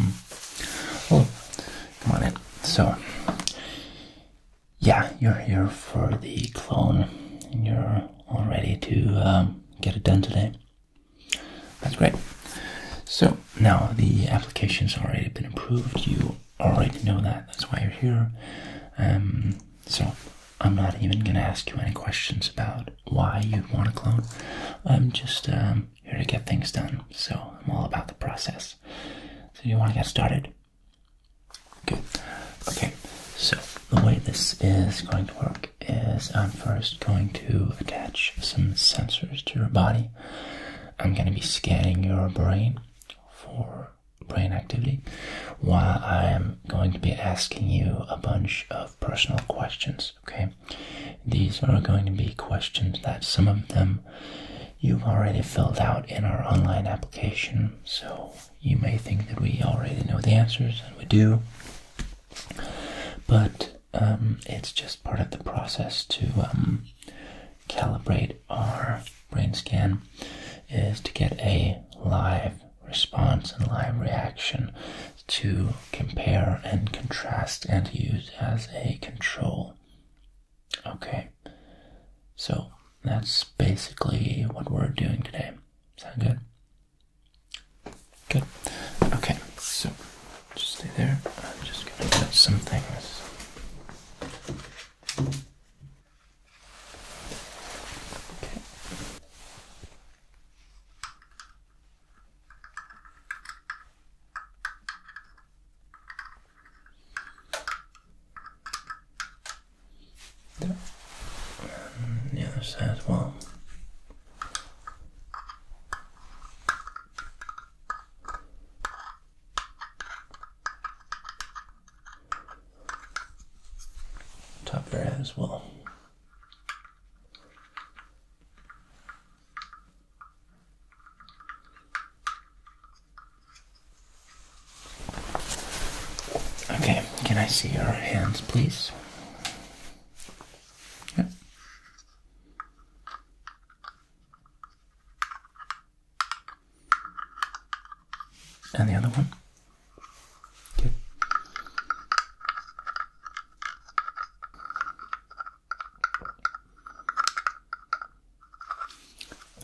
Mm. come on in. So, yeah, you're here for the clone, and you're all ready to um, get it done today. That's great. So now the application has already been approved. You already know that. That's why you're here. Um, so I'm not even gonna ask you any questions about why you want a clone. I'm just um, here to get things done. So I'm all about the process. So you want to get started? Okay. Okay. So the way this is going to work is I'm first going to attach some sensors to your body. I'm going to be scanning your brain for brain activity, while I am going to be asking you a bunch of personal questions. Okay, these are going to be questions that some of them you've already filled out in our online application, so you may think that we already know the answers, and we do, but um, it's just part of the process to um, calibrate our brain scan is to get a live response and live reaction to compare and contrast and use as a control. Okay, so that's basically what we're doing today. Sound good? Good. Okay, so just stay there. I'm just gonna get some things. Okay. There. And the other side as well top of her head as well. Okay, can I see your hands, please? Yeah. And the other one. Good.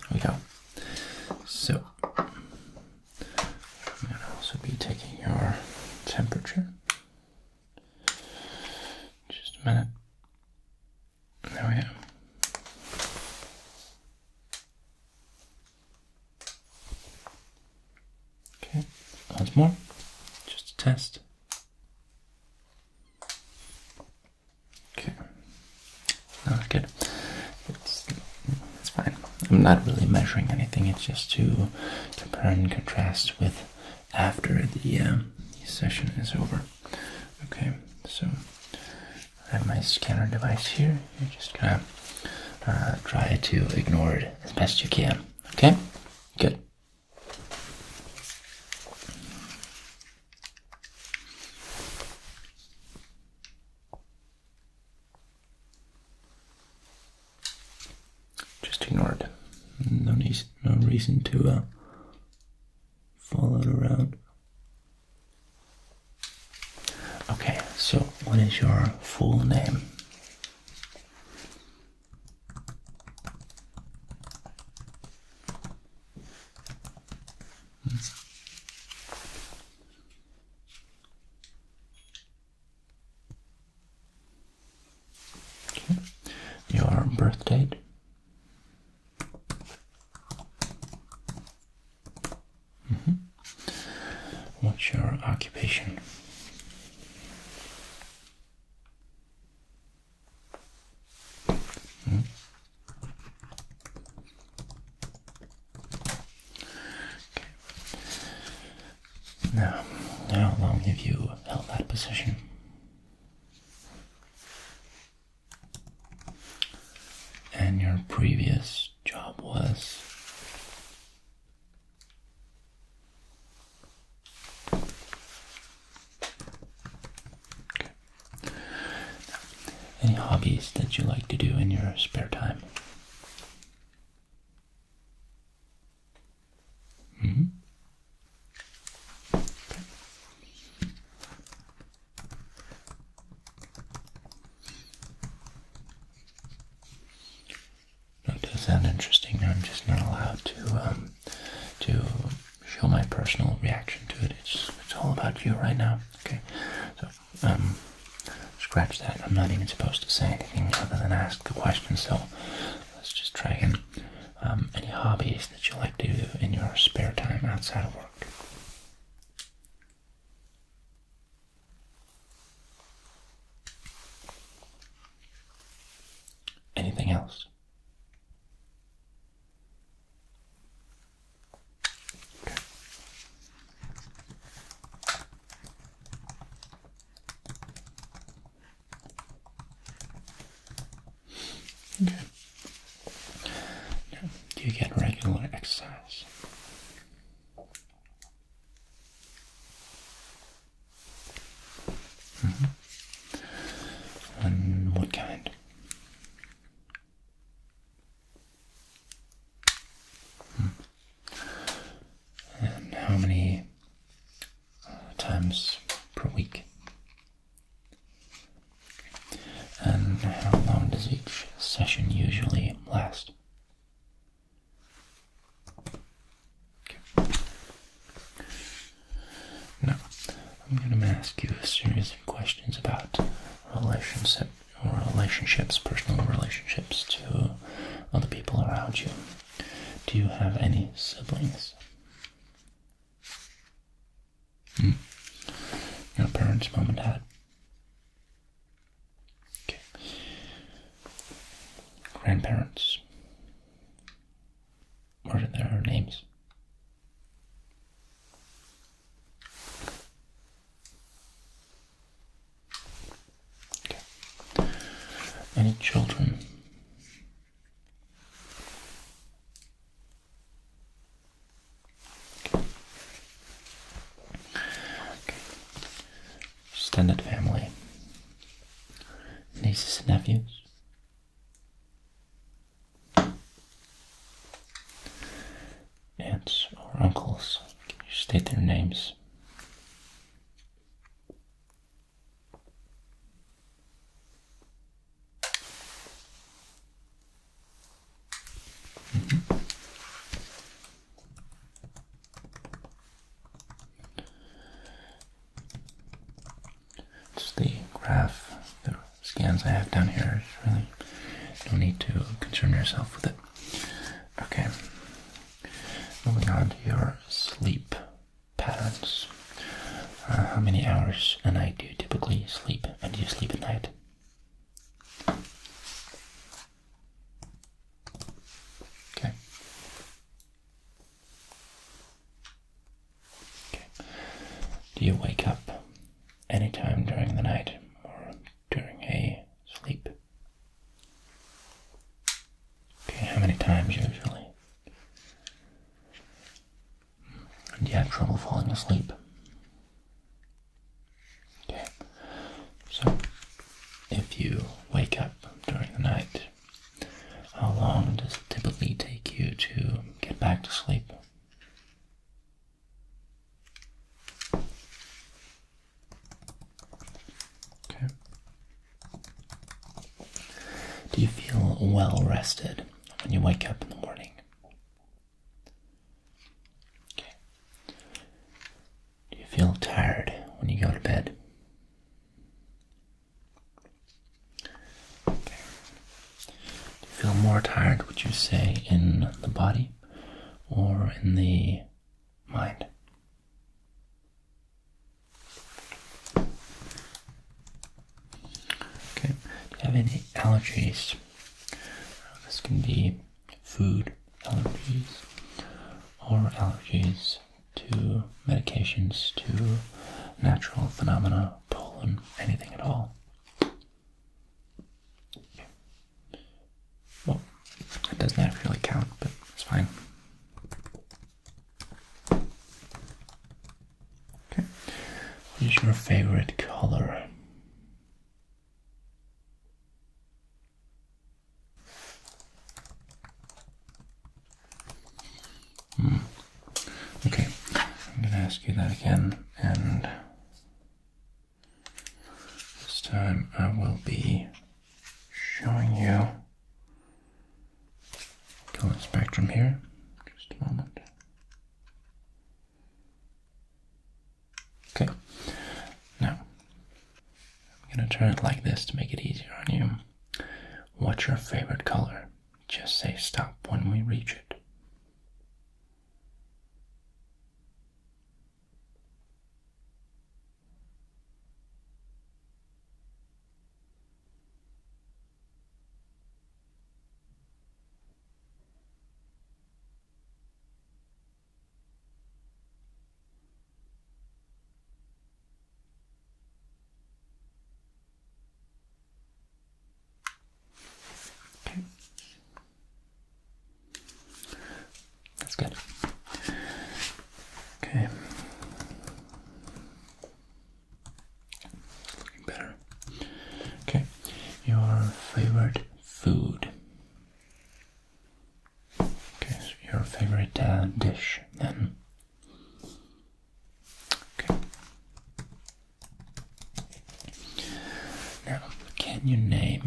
There we go. So I'm gonna also be taking your temperature. Just a minute. There we go. Okay, once more, just to test. Okay, that's good. It's it's fine. I'm not really measuring anything. It's just to compare and contrast with after the uh, session is over. Okay, so I have my scanner device here. You're just gonna uh, try to ignore it as best you can. Okay, good. Just ignore it. No, need, no reason to uh, follow it around. Okay, so what is your full name? Hmm. Your birth date? Mm-hmm. What's your occupation? Hmm. Now, how long have you held that position? And your previous job was any hobbies that you like to do in your spare time? -hmm. That does sound interesting. I'm just not allowed to um, to show my personal reaction to it. It's it's all about you right now. Okay, so um, scratch that. I'm not even supposed to say anything other than ask the question. So let's just try again. Um, any hobbies that you like to do in your spare time outside of work? Anything else? Okay. Do you get regular exercise? Mm-hmm. And what kind? Hmm. And how many uh, times per week? And how long does each session usually last? Now, I'm going to ask you a series of questions about relationship relationships, personal relationships to other people around you. Do you have any siblings? Hmm. Your parents, mom and dad. Okay. Grandparents. What are their names? Okay. Any children? Extended family. Nieces and nephews. Aunts or uncles. Can you state their names? mm It's the graph, the scans I have down here. There's really no need to concern yourself with it. Okay, moving on to your sleep patterns. Uh, how many hours and I do typically sleep, and do you sleep at night? Okay. Okay. Do you wake up anytime during the night or during a sleep? Okay, how many times usually? Do you have trouble falling asleep? Okay. So, if you wake up during the night, how long does it typically take you to get back to sleep? Okay. Do you feel well rested when you wake up in the morning? Do you feel tired when you go to bed? Do you feel more tired, would you say, in the body or in the mind? Okay, do you have any allergies? This can be food allergies or allergies to medications, to natural phenomena, pollen, anything at all. Well, it doesn't actually count, but it's fine. Okay. What is your favorite color? Hmm. Okay, I'm going to ask you that again, and this time I will be showing you color spectrum here. Just a moment. Okay, now I'm gonna turn it like this to make it easier on you. What's your favorite color? Just say stop when we reach it. Okay. That's good. Okay. Better. Okay. Your favorite food. Okay, so your favorite uh, dish then. Okay. Now, can you name,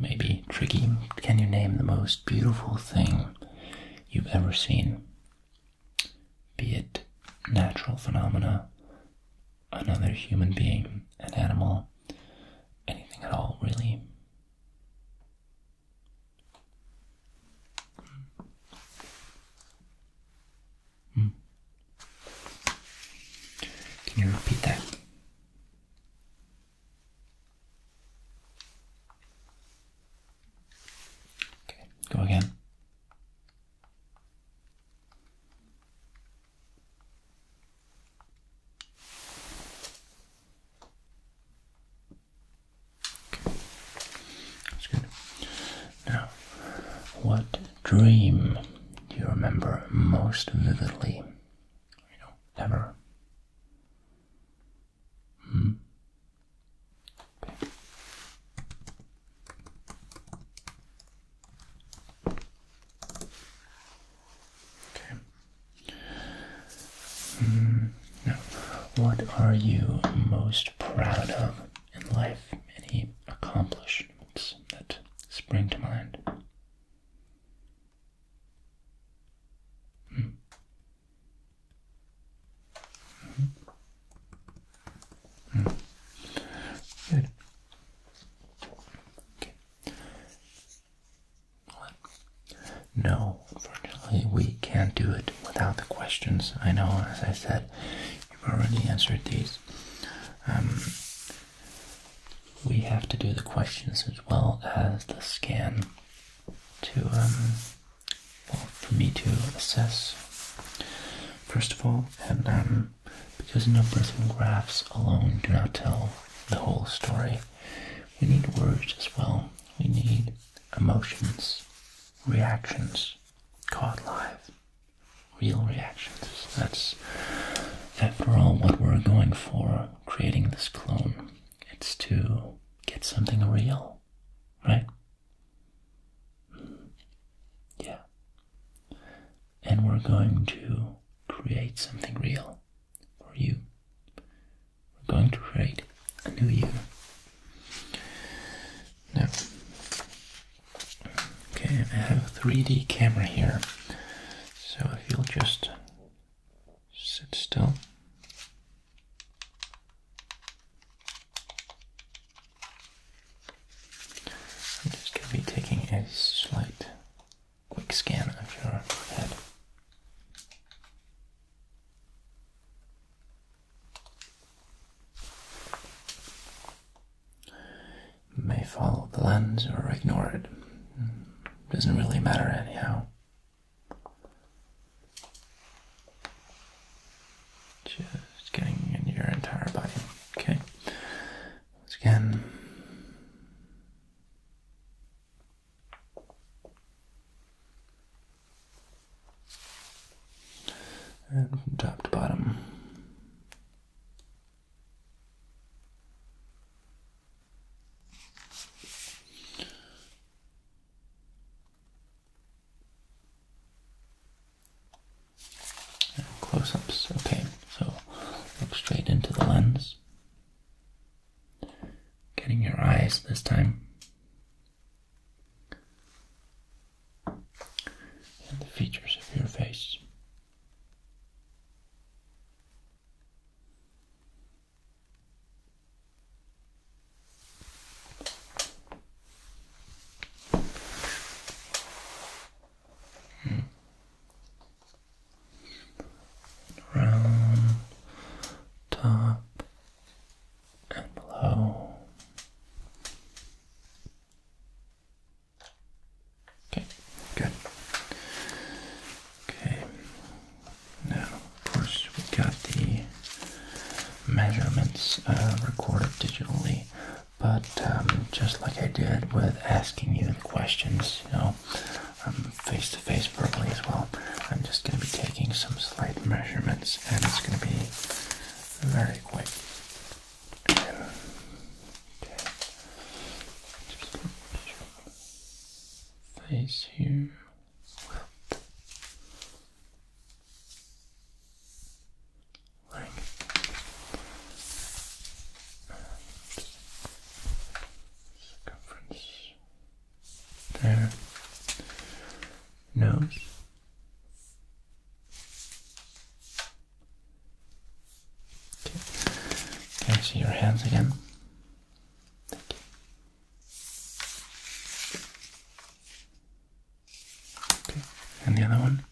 Maybe may tricky, can you name the most beautiful thing you've ever seen? Be it natural phenomena, another human being, an animal, anything at all, really. Hmm. Can you repeat that? Okay, go again. Now, what dream do you remember most vividly? You know, ever. Hmm? Okay. Mm, now, what are you most proud of in life? Any accomplishments that spring to mind? Hmm. Hmm. Hmm. No, unfortunately, we can't do it without the questions. I know, as I said, you've already answered these. Um, we have to do the questions as well as the scan to, um, for me to assess. First of all, and um, because numbers and graphs alone do not tell the whole story. We need words as well. We need emotions, reactions, caught live, real reactions. That's, after all, what we're going for creating this clone. It's to get something real, right? Hmm. Yeah and we're going to create something real for you. We're going to create a new you. Now, okay, I have a 3D camera here, so if you'll just sit still. I'm just going to be taking a slight quick scan of your head. may follow the lens or ignore it. Doesn't really matter anyhow. Just getting in your entire body. Okay. Once again. And from top to bottom. Close-ups, okay, so look straight into the lens. Getting your eyes this time. And the features of your face. Round, top, and below. Okay, good. Okay, now, of course, we got the measurements uh, recorded digitally but um, just like I did with asking you the questions, you know, face to face verbally as well, I'm just going to be taking some slight measurements and it's going to be very quick. face here ring. circumference there. Nose. Okay. Can I see your hands again? Thank you and the other one.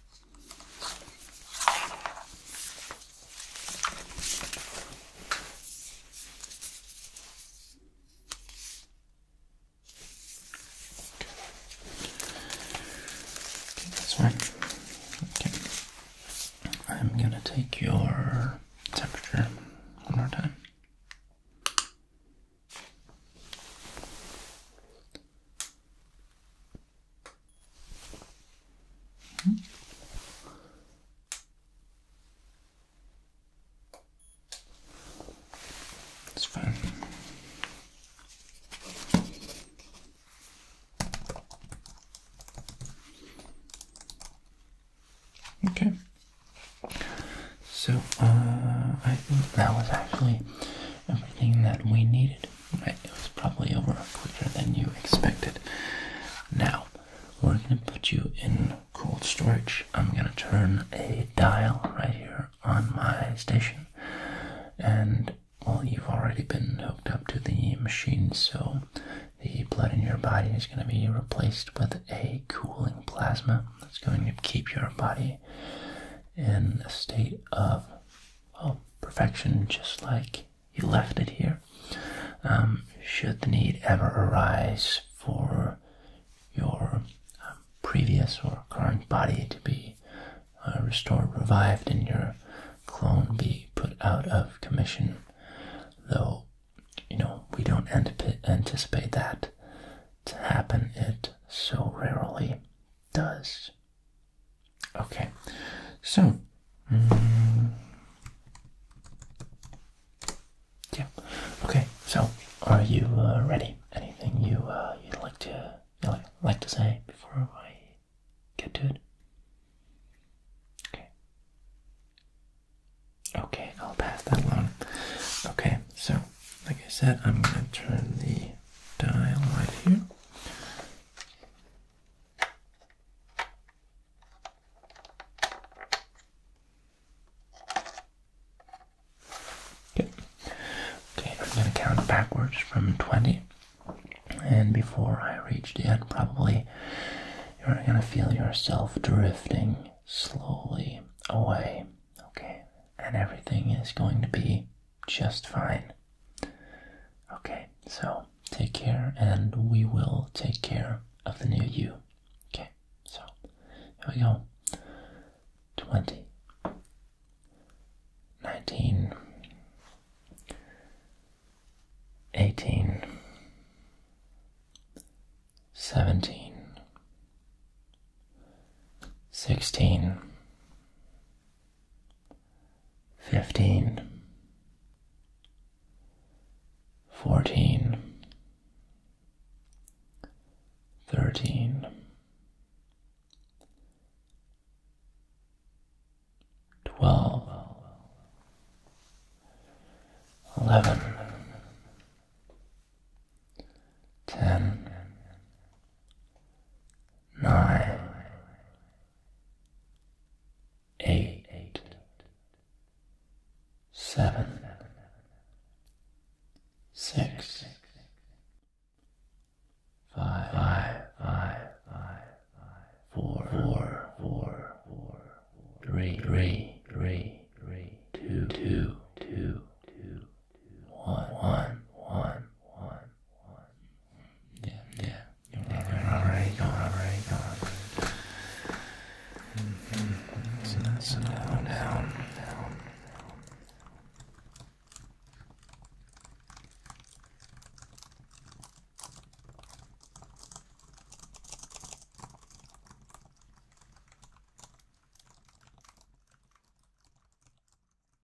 Okay. okay, Okay, I'm gonna take your temperature one more time. Mm -hmm. It's fun. Okay. So uh, I think that was actually everything that we needed it was probably over quicker than you expected. Now, we're gonna put you in cold storage. I'm gonna turn a dial right here on my station, and well, you've already been hooked up to the machine, so the blood in your body is gonna be replaced with a cooling plasma that's going to keep your body in a state of oh, perfection just like you left it here. Um, should the need ever arise for your um, previous or current body to be uh, restored, revived, and your clone be put out of commission, though you know we don't anticipate that to happen, it so rarely does. Okay, so mm, yeah. Okay, so are you uh, ready? Anything you uh, you'd like to like, to say before I get to it? Okay. Okay, I'll pass that along. Okay, so like I said, I'm gonna turn the dial right here. Good. Okay, I'm going to count backwards from 20. And before I reach the end, probably you're going to feel yourself drifting slowly away. Okay, and everything is going to be just fine. Okay, so take care, and we will take care of the new you. Okay, so here we go 20, 19, 18, 17, 16, fifteen, fourteen, thirteen, twelve, eleven, ten, nine, eight, seven, six, five, five, five, five, four, four, four, four, three, three, three, three, two, two, two, two, one, one, one, one. Yeah, yeah. You're all right. You're all right. You're all right. So that's a down, down, down.